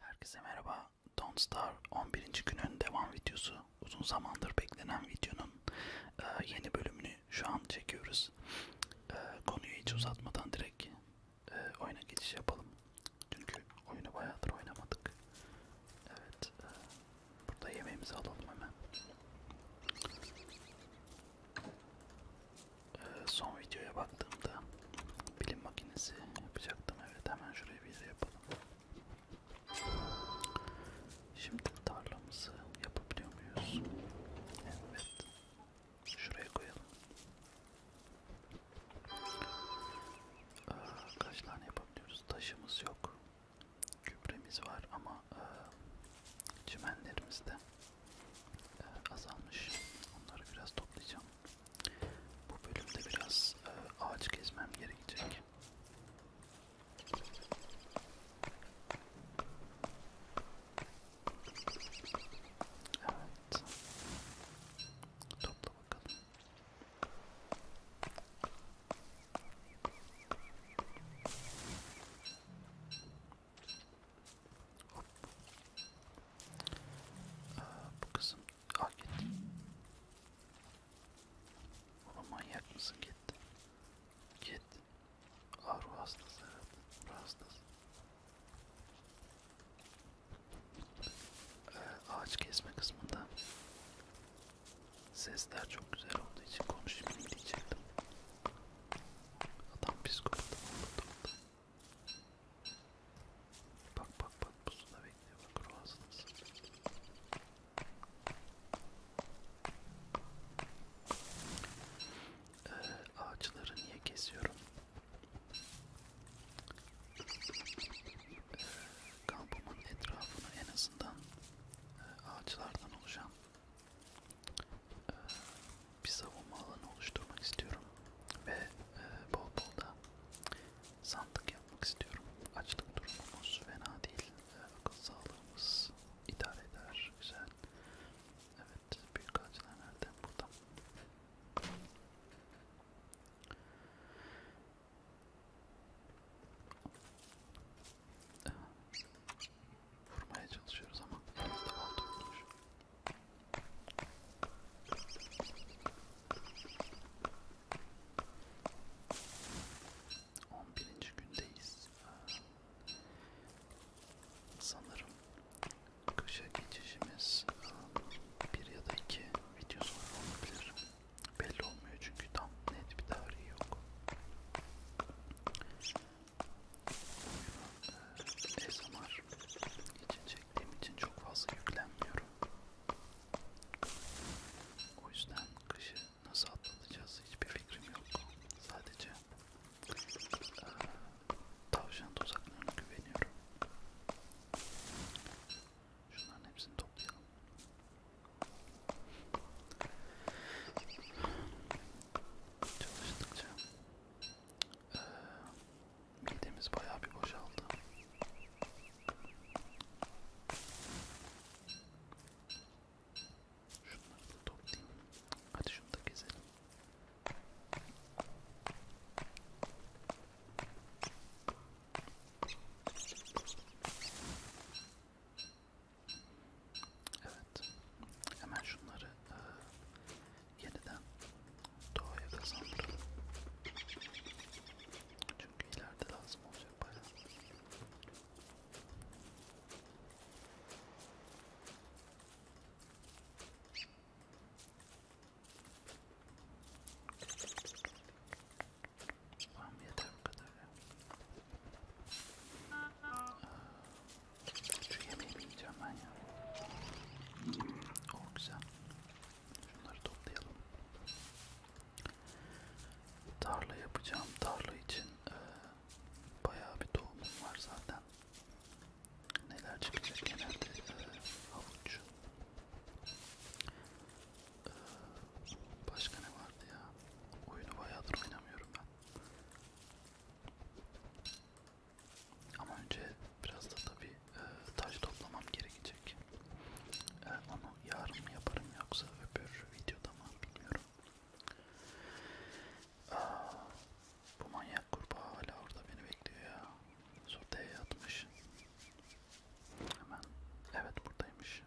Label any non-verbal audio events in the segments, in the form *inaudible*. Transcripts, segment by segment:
Herkese merhaba. Don't Star 11. günün devam videosu. Uzun zamandır beklenen videonun e, yeni bölümünü şu an çekiyoruz. E, konuyu hiç uzatmadan direkt e, oyuna geçiş yapalım. Çünkü oyunu bayağıdır oynamadık. Evet. E, burada yemeğimizi alalım hemen. E, son videoya baktığımda Bilim makinesi yapacaktım evet hemen şuraya bir yere yapalım. Şimdi tarlamızı yapabiliyor muyuz? Evet. Şuraya koyalım. Ee, kaç tane yapabiliyoruz? Taşımız yok. Gübremiz var ama e, çimenlerimiz de e, azalmış. Onları biraz toplayacağım. Bu bölümde biraz e, ağaç gezmem gerekecek. Evet. Topla bakalım. Aa, bu kızım ah gitti. Oğlum manyak mısın gitti. Git. Ah ruh hastası evet. Ruh hastası. Ee, ağaç kesme kısmında sesler çok güzel olduğu için konuşmayayım diyecektim. Adam psikopat oldu. Bak bak bak pusula bekliyor bak ruhansınız. Ee, ağaçları niye kesiyorum? Ee, kampımın etrafını en azından e, ağaçlardan oluşan e, bir savunma alanı oluşturmak istiyorum ve e, bol bol da sandık yapmak istiyorum. Açlık durumumuz fena değil, e, akıl sağlığımız idare eder, güzel. Evet, büyük ağaçlar nerede? Burada. Vurmaya çalışıyoruz ama biraz da oldu. On birinci gündeyiz. Sanırım kışa geçişimiz e, bir ya da iki video sonra olabilir. Belli olmuyor çünkü tam net bir tarihi yok. Oyunu e, ASMR için şey çektiğim için çok fazla yüklenmiyorum. O yüzden kışı nasıl atlatacağız hiçbir fikrim yok. Sadece e, tavşan tuzaklarına güveniyorum. Şunların hepsini toplayalım. Çalıştıkça ee, midemiz bayağı bir boşaldı. Şunları da toplayayım. Hadi şunu da keselim. Evet. Hemen şunları e, yeniden doğaya kazandıralım. Çünkü ileride lazım olacak bayağı. Tamam yeter bu kadar ya. Aa, şu yemeği mi yiyeceğim ben ya? O oh, güzel. Şunları toplayalım. Tarla yapacağım. Tarla için e, bayağı bir tohumum var zaten. Neler çıkacak genelde e, havuç. E, başka ne vardı ya? Oyunu bayağıdır oynamıyorum ben. Ama önce biraz da tabi e, taş toplamam gerekecek. E, onu yarın mı yaparım yoksa öbür videoda mı bilmiyorum. Aa, bu manyak kurbağa hala orada beni bekliyor ya. Sortaya yatmış. Hemen. Evet buradaymış.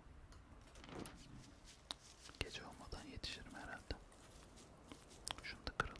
Gece olmadan yetişirim herhalde. Şunu da kıralım.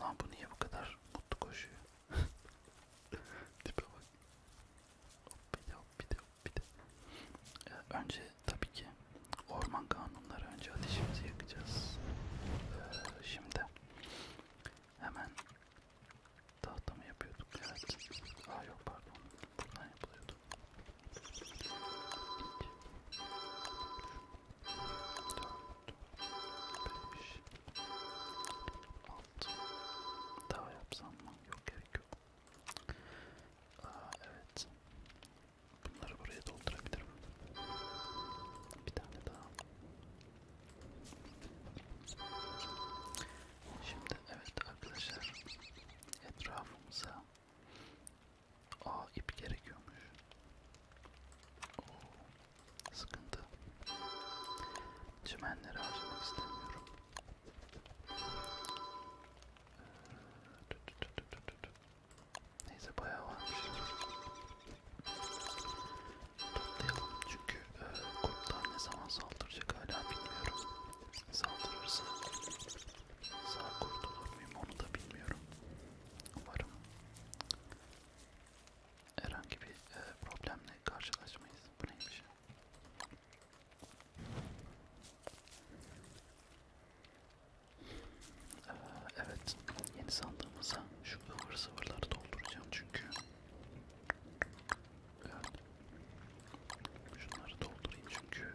Lan bu niye bu kadar mutlu koşuyor? *laughs* Tipe bak. Hop bir de hop bir de hop bir de. Ee, önce tabii ki orman kanunları önce ateşimizi yakacağız. Ee, şimdi hemen tahta mı yapıyorduk? Evet. Aa yok pardon. Buradan yapılıyordu altı daha yapsam mı? Yok gerek yok. Aa, evet. Bunları buraya doldurabilirim. Bir tane daha. Şimdi evet arkadaşlar etrafımıza Aa ip gerekiyormuş. Oo, Sıkıntı. Çimenleri harcamak istemiyorum. Neyse bayağı varmış. Toplayalım çünkü e, kurtlar ne zaman saldıracak hala bilmiyorum. Saldırırsa sağ kurtulur muyum onu da bilmiyorum. Umarım herhangi bir e, problemle karşılaşmayız. Bu neymiş? Ee, evet, yeni sandığımıza şu ıvır sıvırları dolduracağım çünkü. Evet. Şunları doldurayım çünkü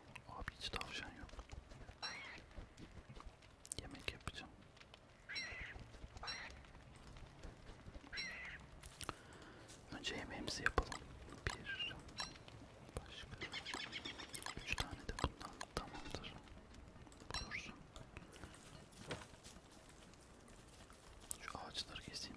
Abi hiç tavşan yok. Yemek yapacağım. Önce yemeğimizi yapalım. Bir, başka, üç tane de bundan tamamdır. Dursun. Şu ağaçları keseyim.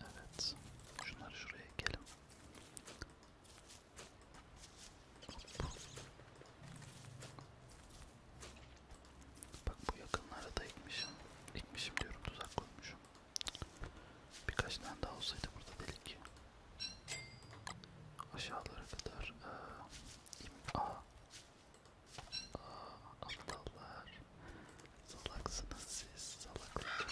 Evet. Şunları şuraya ekelim. Hop. Bak bu yakınlara da ekmişim. Ekmişim diyorum tuzak koymuşum. Birkaç tane daha olsaydı burada delik. Aşağılara kadar ee, im, a, a, aptallar Salaksınız siz, salaklar.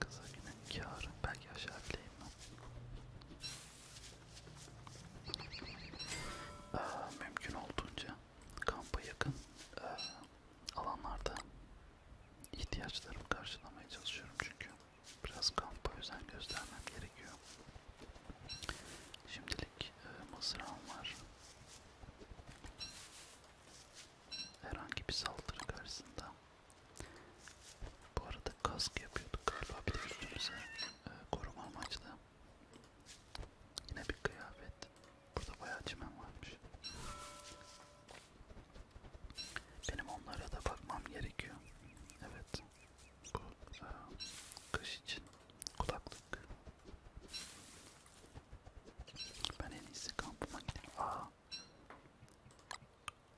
Kıza yine kârım, belki aşağı bileyim ben. Ee, mümkün olduğunca kampa yakın e, alanlarda ihtiyaçlarımı karşılamaya çalışıyorum çünkü biraz kampa özen göstermem gerekiyor. Şimdilik e, mızrağım var. Herhangi bir saldırı karşısında. Bu arada kask yapıyorduk galiba bir de üstümüze e, koruma amaçlı. Yine bir kıyafet. Burada bayağı çimen varmış. Benim onlara da bakmam gerekiyor. Evet. Bu e, kış için Kulaklık. Ben en iyisi kampıma gideyim. Aa.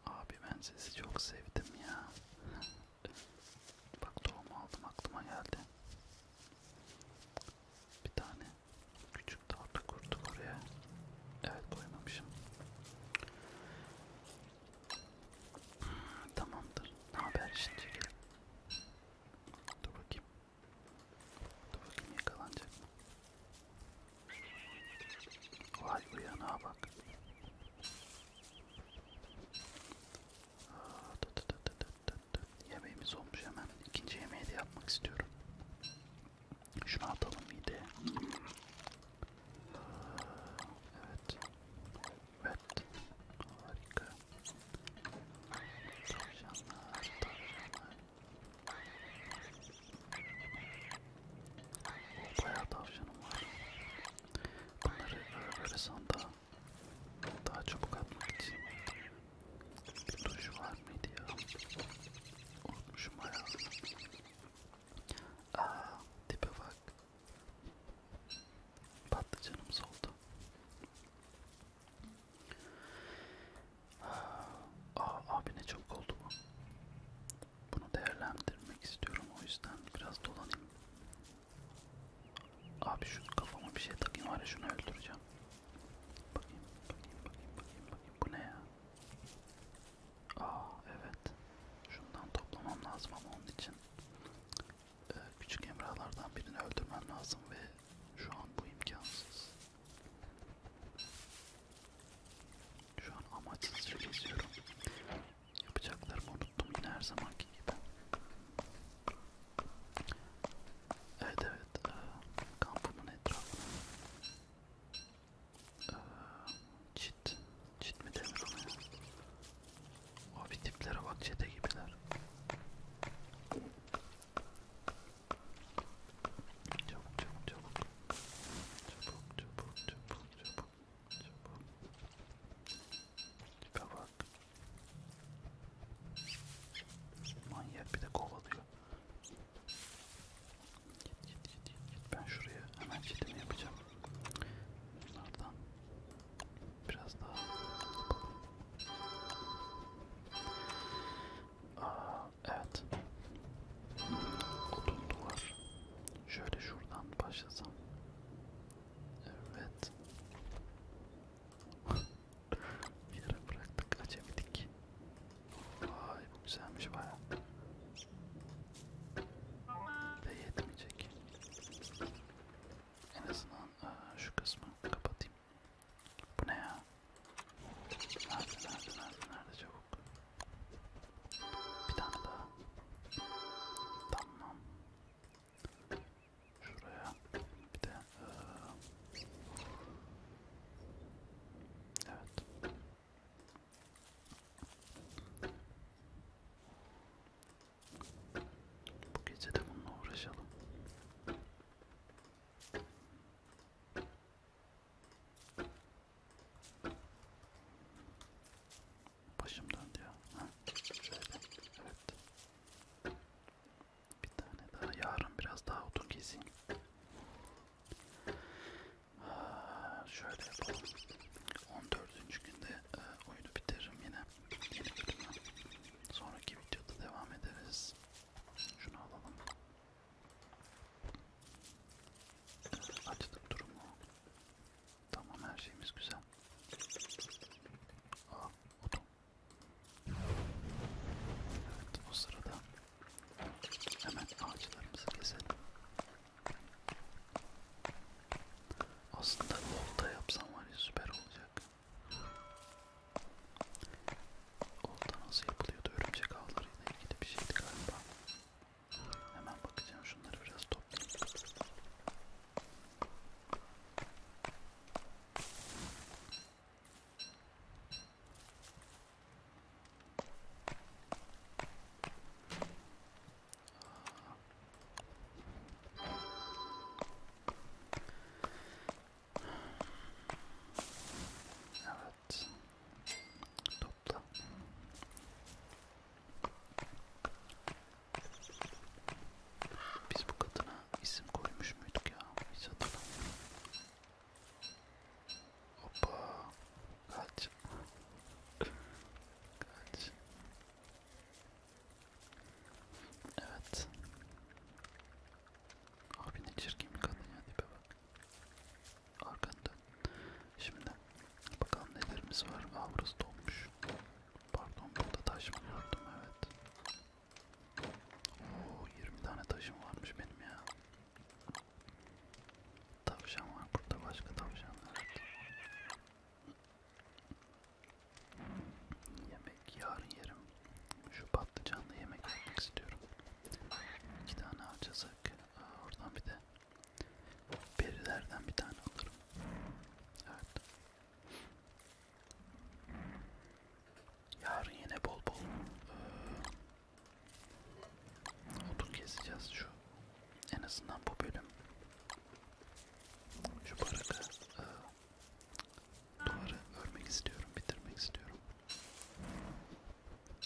Abi ben sizi çok sevdim ya. Bak tohum aldım aklıma geldi. Bir tane küçük tatlı kurdu oraya. Evet koymamışım. Tamamdır. Ne haber şimdi? Dur bakayım. Dur bakayım yakalanacak mı? Vay uyanağa bak. Aa, tut, tut, tut, tut, tut. Yemeğimiz olmuş hemen. İkinci yemeği de yapmak istiyorum. Şunu atalım mideye. Evet. Evet. Harika. Tavşanlar, tavşanlar. O bayağı tavşanım var. Bunları böyle, böyle sandığa daha çabuk atmak için bir duş var mıydı ya? Unutmuşum bayağı. Aaa tipe bak. Patlıcanımız oldu. Aa, ah, abi ne çok oldu bu. Bunu değerlendirmek istiyorum o yüzden biraz dolanayım. Abi şu kafama bir şey takayım var ya şunu öldüreceğim. Bakayım, bakayım, bakayım, bakayım, bakayım. Bu ne ya? Aa ah, evet. Şundan toplamam lazım ama onun için e, küçük emralardan birini öldürmem lazım ve şu an bu imkansız. Şu an amaçsızca geziyorum. Yapacaklarımı unuttum yine her zamanki gibi. Evet evet, e, kampımın etrafı. E, çit Çit mi denir ona ya? Abi tiplere bak çete gibiler. Çabuk çabuk çabuk. Çabuk çabuk çabuk çabuk. Çabuk. Tipe bak. Manyak bir de kovalıyor. Git git git git. Ben şuraya hemen çitimi yapacağım. Bunlardan biraz daha yapalım. Aa, evet. Odun duvar. Şöyle şuradan başlasam. Evet. Bir yere bıraktık, açabildik. Vay bu güzelmiş baya. Ve yetmeyecek. En azından aa, e, şu kısmı kapatayım. Bu ne ya? Nerede nerede nerede nerede çabuk? Bir tane daha. Tamam. Şuraya bir de aa. E, evet. Bu gece de bununla uğraşalım. Başım döndü ya. Ha, şöyle. Evet. Bir tane daha yarın biraz daha otur gezeyim. Aa, şöyle yapalım. 14 dördüncü günde e, oyunu bitiririm yine. Yeni bölümü. Sonraki videoda devam ederiz. Şunu alalım. E, açtık durumu. Tamam her şeyimiz güzel. Aa, buldum. Evet o sırada hemen ağaçlarımızı keselim. Aslında olta yapsam var ya süper olacak. Olta nasıl yapılıyordu? Örümcek ağlarıyla ilgili bir şeydi galiba. Hemen bakacağım şunları biraz toplayayım. Evet. Topla. Biz bu kadına isim koymuş muyduk ya? Hiç hatırlamıyorum. Hoppa. Kaç. Kaç. Evet. Abi ne çirkin bir kadın ya dibe bak. Arkanda. Şimdi bakalım nelerimiz var. Aa burası dolmuş. Pardon burada taş mı gördüm evet. Oo 20 tane taşım varmış benim ya. Tavşan var burada başka tavşanlar. Yemek yarın yerim. Şu patlıcanlı yemek yemek istiyorum. İki tane alacaksak oradan bir de berilerden bir tane alırım. Evet. Yarın yine bol bol ee, ıı, otur keseceğiz şu en azından bu bölüm şu baraka e, duvarı örmek istiyorum, bitirmek istiyorum.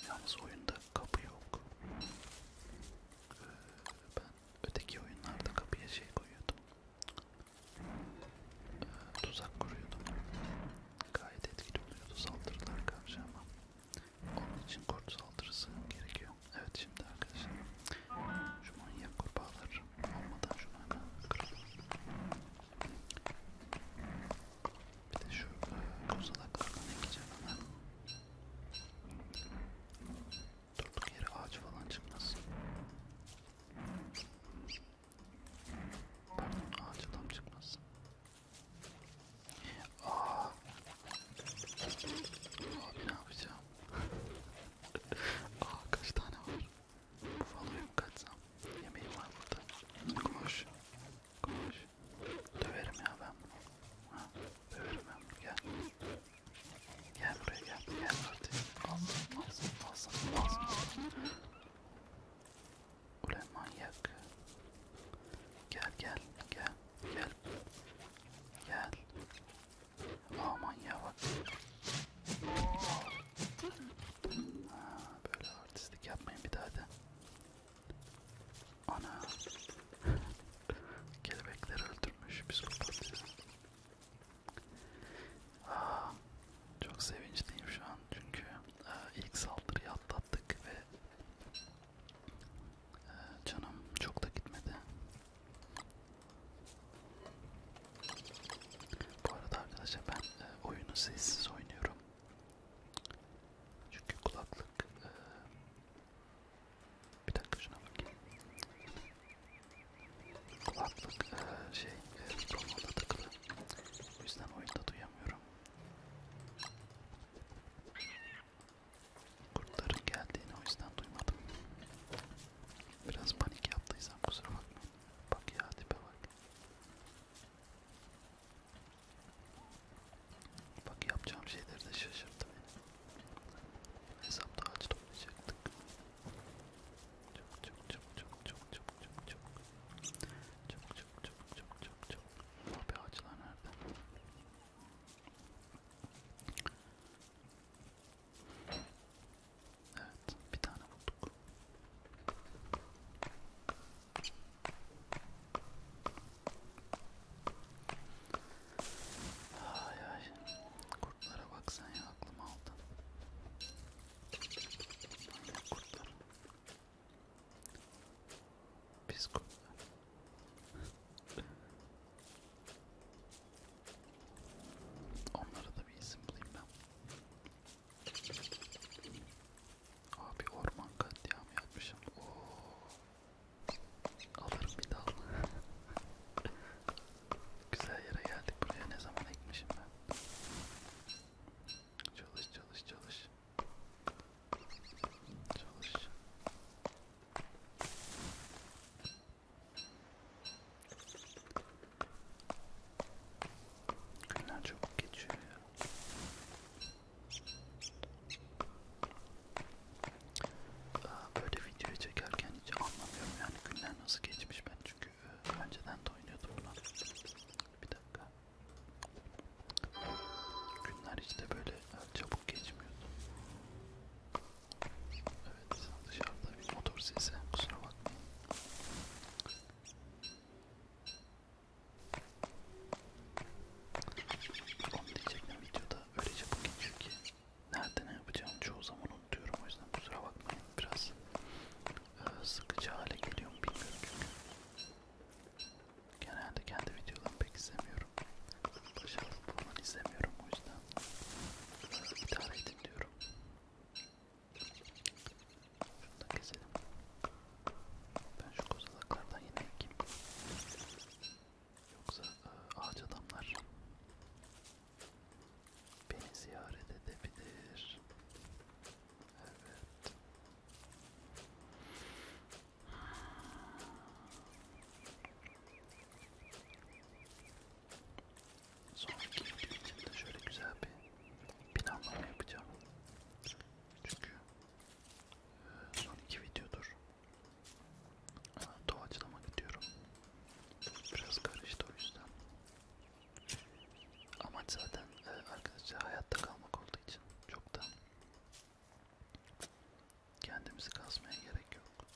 Yalnız oyunda kapı yok. E, ben öteki oyunlarda kapıya şey koyuyordum. E, tuzak kuruyordum. Gayet etkili oluyordu saldırılar karşı ama onun için kurt saldırısı gerekiyor. Evet şimdi arkadaşlar şu manyak kurbağalar olmadan şunu hemen kıralım. Bir de şu e, kozalaklardan ekeceğim hemen. Durduk yere ağaç falan çıkmasın. Pardon ağaç adam çıkmasın. Aa. Abi ne yapacağım? Aa kaç tane var? Faloya mı kaçsam? Yemeğim var burada. Koş. Koş. Döverim ya ben bunu. Ha, döverim ben bunu. Gel. Gel buraya gel. Gel artık. Alsın alsın alsın alsın. Ulan manyak. Gel gel gel gel gel. Gel. Aman ya bak. Ha, böyle artistlik yapmayın bir daha da. Ana. Kelebekleri öldürmüş psikopat ya. Aa, ah, çok sevinçliyim şu an çünkü e, ilk saldırıyı atlattık ve Canım çok da gitmedi. Bu arada arkadaşlar ben e, oyunu sessiz oynuyorum. Çünkü kulaklık... E, bir dakika şuna bakayım. Kulaklık e, şey mikrofonla takılı. O yüzden oyunda duyamıyorum. Kurtların geldiğini o yüzden duymadım. Biraz panik yaptıysam kusura bakmayın. Bak ya tipe bak. Bak yapacağım şeyleri de şaşırttı beni. Hesapta ağaç toplayacaktık. Çok çok çok çok çok çok çok çok çok çok çok çok çok çok çok. Abi ağaçlar nerede? Evet, bir tane bulduk. Ay ay, kurtlara baksan ya aklım aldı. Kurtlar. Biz Onlara da bir isim bulayım ben. Abi orman katliamı yapmışım. Oo. Alırım bir dal. *laughs* Güzel yere geldik. Buraya ne zaman ekmişim ben? Çalış çalış çalış. Çalışacağım. Günler çok geçiyor ya. Böyle videoyu çekerken hiç anlamıyorum yani günler nasıl geçmiş ben çünkü e, önceden de oynuyordum buna. Bir dakika. Günler hiç de böyle çabuk geçmiyordu. Evet dışarıda bir motor sesi kusura bakmayın. Onu diyecektim videoda öyle çabuk geçiyor ki nerede ne yapacağım çoğu zaman unutuyorum o yüzden kusura bakmayın biraz e, sıkıcı hale geliyor mu bilmiyorum çünkü. Genelde kendi videolarımı pek izlemiyorum. Başarılı falan izlemiyorum o yüzden. İdare edin diyorum. Şunu da keselim. Ben şu kozalaklardan yine ekeyim. Yoksa e, ağaç adamlar beni ziyaret edebilir. Evet. Sonraki video için de şöyle güzel bir planlama yapacağım. Çünkü e, son iki videodur. Doğaçlama gidiyorum. Biraz karıştı o yüzden. Amaç zaten e, arkadaşlar hayatta kalmak olduğu için çok da Kendimizi kasmaya gerek yok.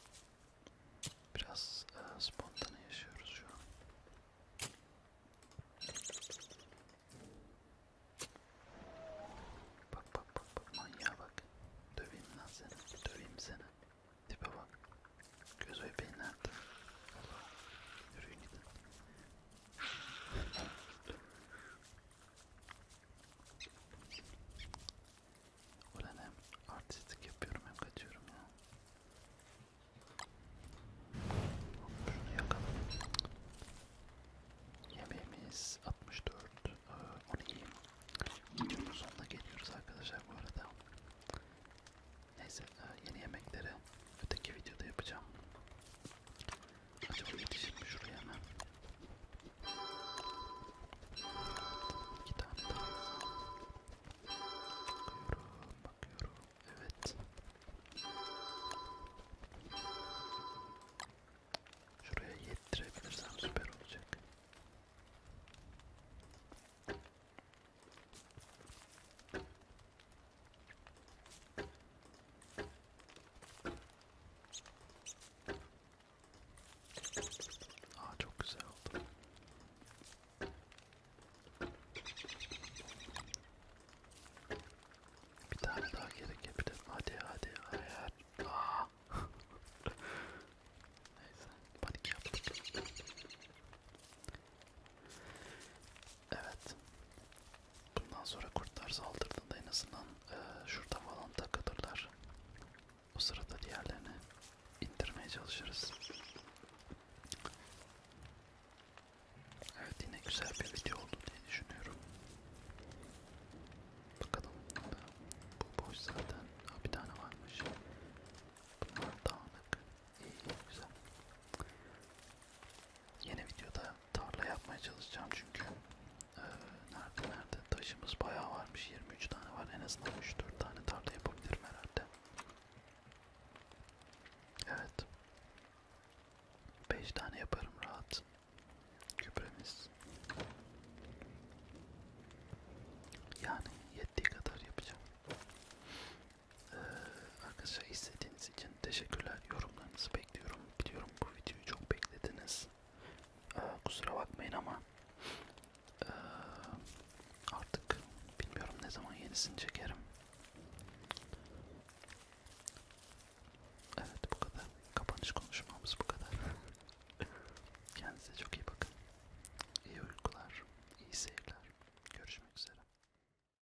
Biraz e, spontane yaşıyoruz şu an. Bak bak bak bak manyağa bak. Döveyim lan seni. Döveyim seni. Tipe bak. Göz bebeğin nerede? Allah. Yürüyün gidin. Ulan hem artistik yapıyorum hem kaçıyorum ya. Şunu yakalım. Yemeğimiz 64. Ee, onu yiyeyim. Videonun sonuna geliyoruz arkadaşlar bu arada. Neyse yeni yemekleri öteki videoda yapacağım. Acaba yetişir mi şuraya hemen? İki tane daha. Bakıyorum, bakıyorum. Evet. Şuraya yettirebilirsem süper olacak. Aa çok güzel oldu. Bir tane daha gerekebilir. Hadi hadi hayır. Aa. *laughs* Neyse panik yaptık. Evet. Bundan sonra kurtlar saldırdığında en azından e, şurada falan takılırlar. O sırada diğerlerini indirmeye çalışırız. Evet yine güzel bir video oldu diye düşünüyorum. Bakalım bu boş zaten. Ha, bir tane varmış. Bunlar dağınık. İyi güzel. Yeni videoda tarla yapmaya çalışacağım çünkü e, nerede nerede taşımız bayağı varmış 23 tane var en azından 3-4 tane tarla yapabilirim herhalde. Evet. 5 tane yaparım rahat. Kübremiz. Yani yettiği kadar yapacağım. Ee, arkadaşlar izlediğiniz için teşekkürler. Yorumlarınızı bekliyorum. Biliyorum bu videoyu çok beklediniz. Ee, kusura bakmayın ama ee, artık bilmiyorum ne zaman yenisini çekerim. Evet bu kadar. Kapanış konuşmamız bu kadar. *laughs* Kendinize çok iyi bakın. İyi uykular, iyi seyirler. Görüşmek üzere.